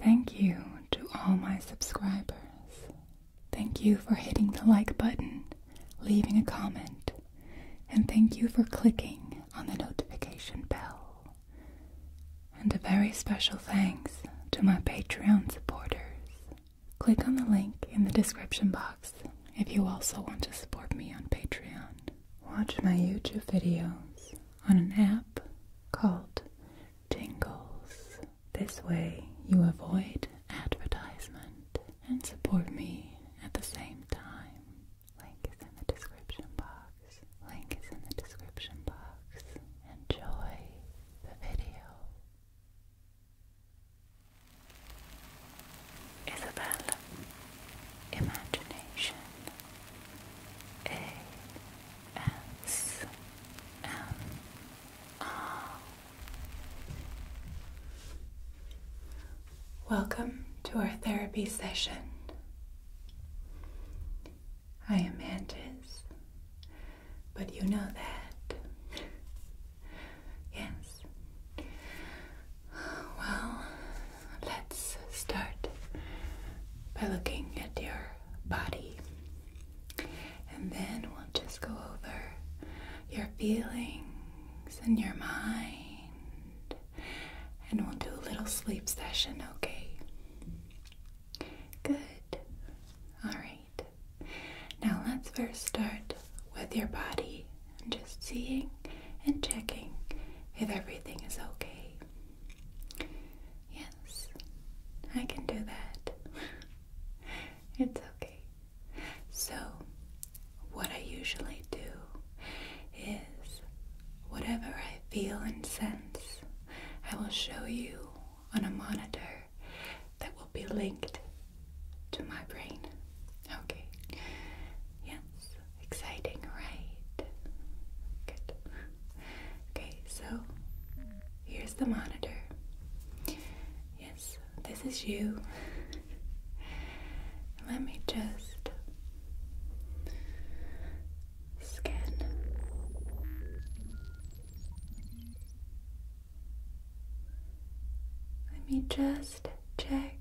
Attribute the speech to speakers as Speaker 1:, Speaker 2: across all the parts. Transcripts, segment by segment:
Speaker 1: Thank you to all my subscribers. Thank you for hitting the like button, leaving a comment, and thank you for clicking on the notification bell. And a very special thanks to my Patreon supporters. Click on the link in the description box if you also want to support me on Patreon. Watch my YouTube videos on an app called Tingles. This way you avoid advertisement and support me at the same time. Link is in the description box. Link is in the description box. Enjoy the video. Isabel, imagination, a S M R. Welcome to our therapy session. I am Antis, but you know that. yes. Well, let's start by looking at your body. And then we'll just go over your feelings and your mind. And we'll do a little sleep session, okay? Good. Alright. Now let's first start with your body and just seeing and checking if everything is okay. Yes, I can do that. it's okay. So, what I usually do is whatever I feel and sense, I will show you on a monitor that will be linked to my brain. Okay. Yes, exciting, right? Good. Okay, so here's the monitor. Yes, this is you. Let me just scan. Let me just check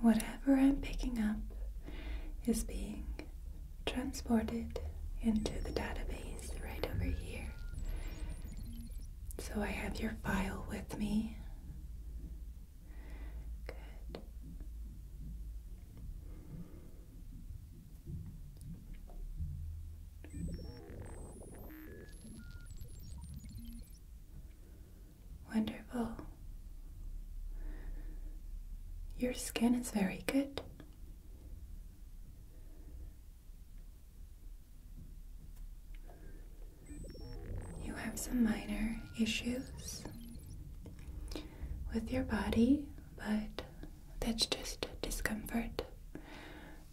Speaker 1: whatever I'm picking up is being transported into the database right over here. So I have your file with me. Good. Wonderful. Your skin is very good you have some minor issues with your body, but that's just discomfort.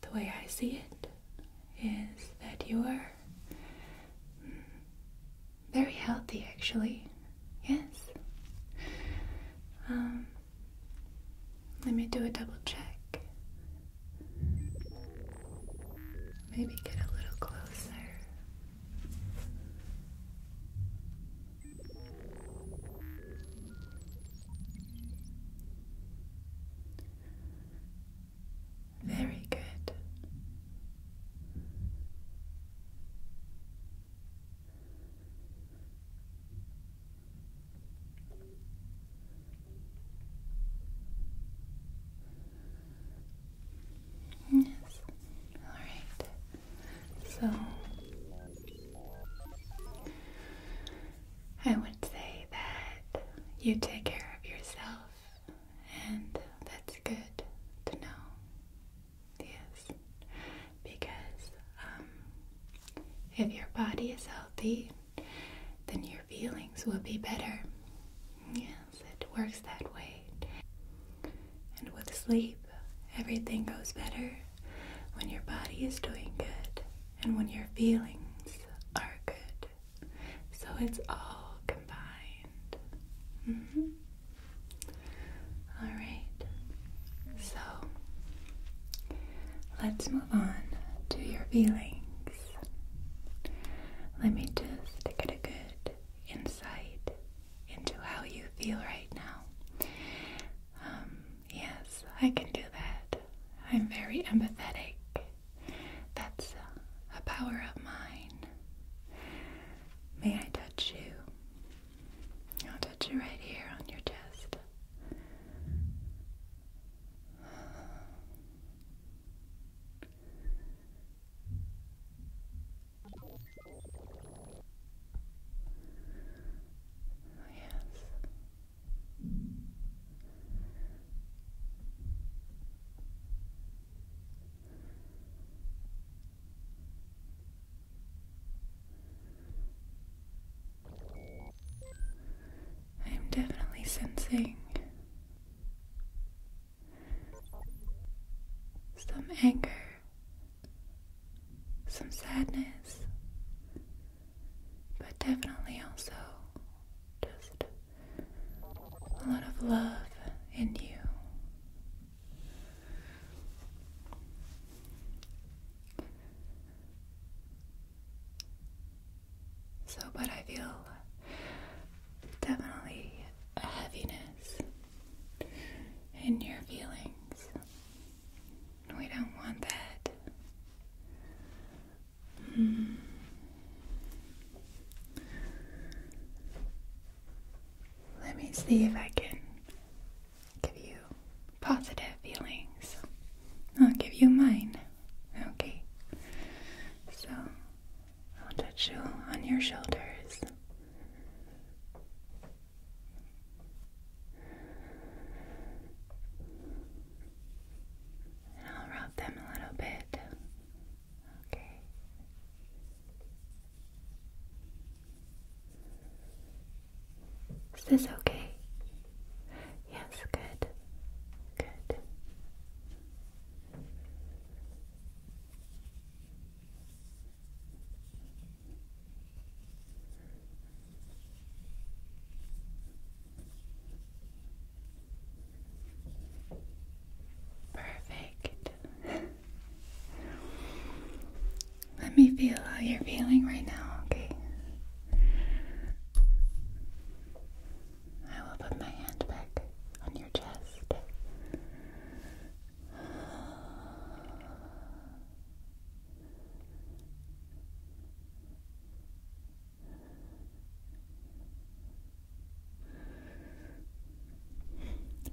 Speaker 1: The way I see it is that you are very healthy, actually. Yes. Um, let me do a double check. Maybe get a little closer. Very good. Yes. Alright. So I would say that you take care of yourself and that's good to know. Yes. Because um, if your body is healthy, then your feelings will be better. Yes it works that way. And with sleep, everything goes better when your body is doing good and when your feelings are good. So it's all combined. Mm-hmm. Alright, so let's move on to your feelings. Let me just get a good insight into how you feel right now. Um, yes, I can do that. I'm very empathetic. That's a, a power of mine. May I touch you? I'll touch you right here on your chest yes. I am definitely sensing some anger, some sadness, but definitely also just a lot of love in you. So, but I feel definitely a heaviness in your feelings. We don't want that. Hmm. Let me see if I can give you positive feelings. I'll give you mine. Okay. So I'll touch you on your shoulders. And I'll rub them a little bit. Okay. Is this okay? Yes, good. Good. Perfect. Let me feel how you're feeling right now, okay? I will put my hand back on your chest.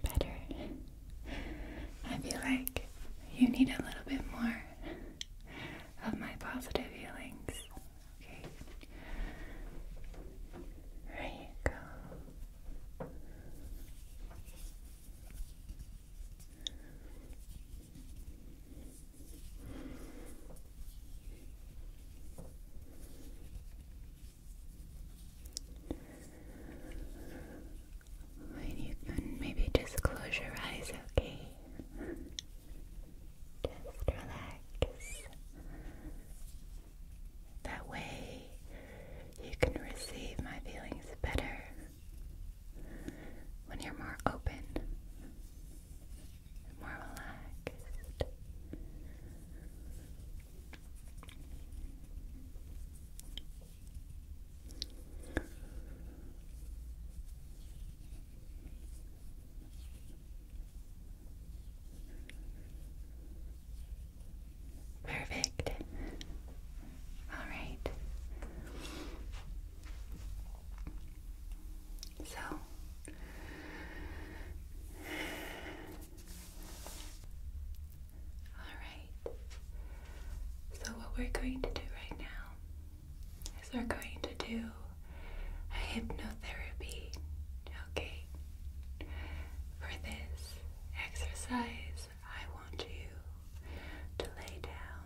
Speaker 1: Better. I feel like you need a little bit more of my positive feelings. Okay. There you go. you can maybe just close your eyes, okay? Just relax. That way, you can receive my feelings better when you're more open, more relaxed. Perfect. All right. So all right. So what we're going to do right now is we're going to do a hypnotherapy, okay? For this exercise, I want you to lay down.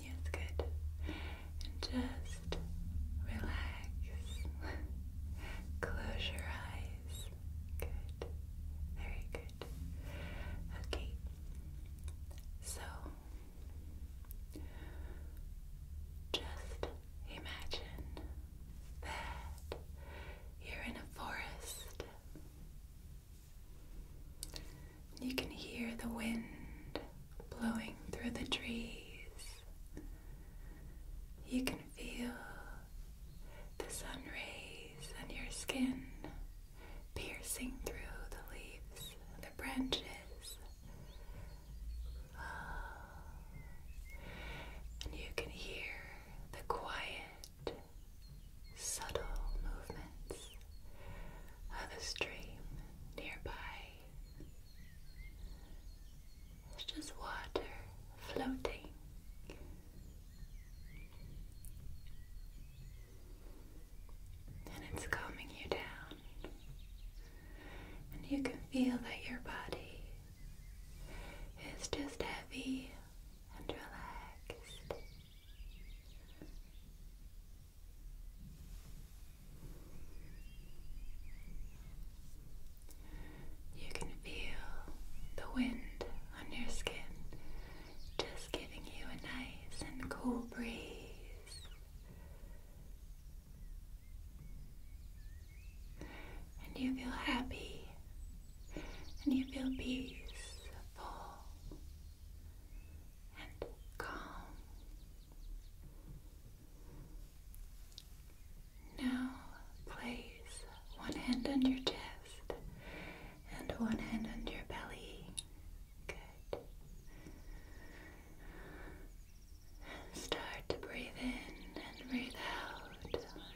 Speaker 1: Yes, good. And just relax. Close your eyes. Good. Very good. Okay. So, just Imagine that you're in a forest. You can hear the wind blowing through the trees. You can feel the sun rays on your skin piercing through the leaves, the branches. And you can hear the quiet, subtle movements of the stream nearby. It's just water floating. And it's calming you down. And you can feel that your body it's just heavy and relaxed. You can feel the wind on your skin just giving you a nice and cool breeze. And you feel happy. And you feel peaceful and calm. Now place one hand on your chest and one hand on your belly. Good. Start to breathe in and breathe out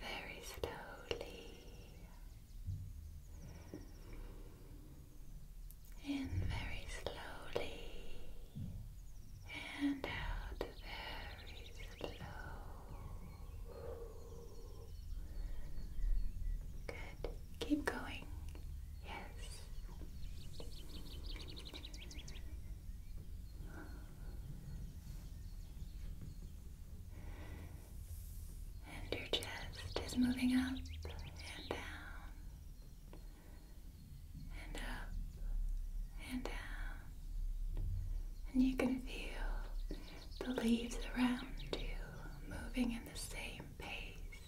Speaker 1: very slowly. In very slowly and out very slow. Good. Keep going. Yes. And your chest is moving up and down, and up and down. And you can feel the leaves around you moving in the same pace.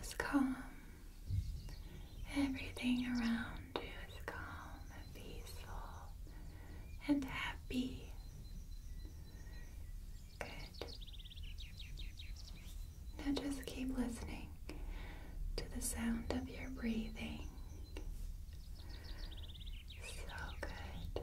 Speaker 1: Just calm Everything around you is calm peaceful and happy. Good. Now just keep listening to the sound of your breathing. So good.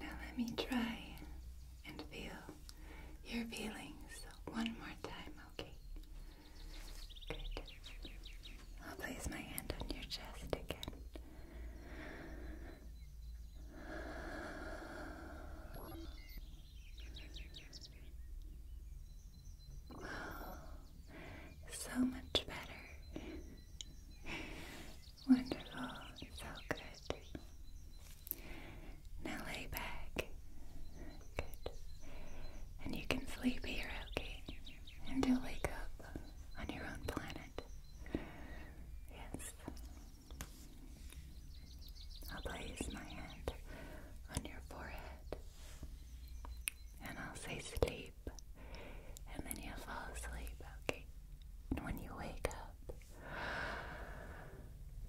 Speaker 1: Now let me try and feel your feelings one more time, okay? Good. I'll place my hand on your chest again. So much better. Wonderful. So good. Now lay back. Good. And you can sleep here, And you wake up on your own planet. Yes. I'll place my hand on your forehead. And I'll say sleep and then you fall asleep, okay? And when you wake up,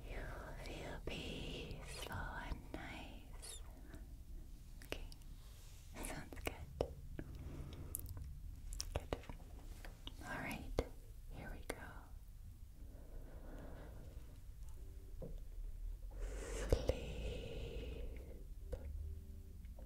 Speaker 1: you feel peaceful and nice. Okay, sounds good. Good. Alright, here we go. Sleep.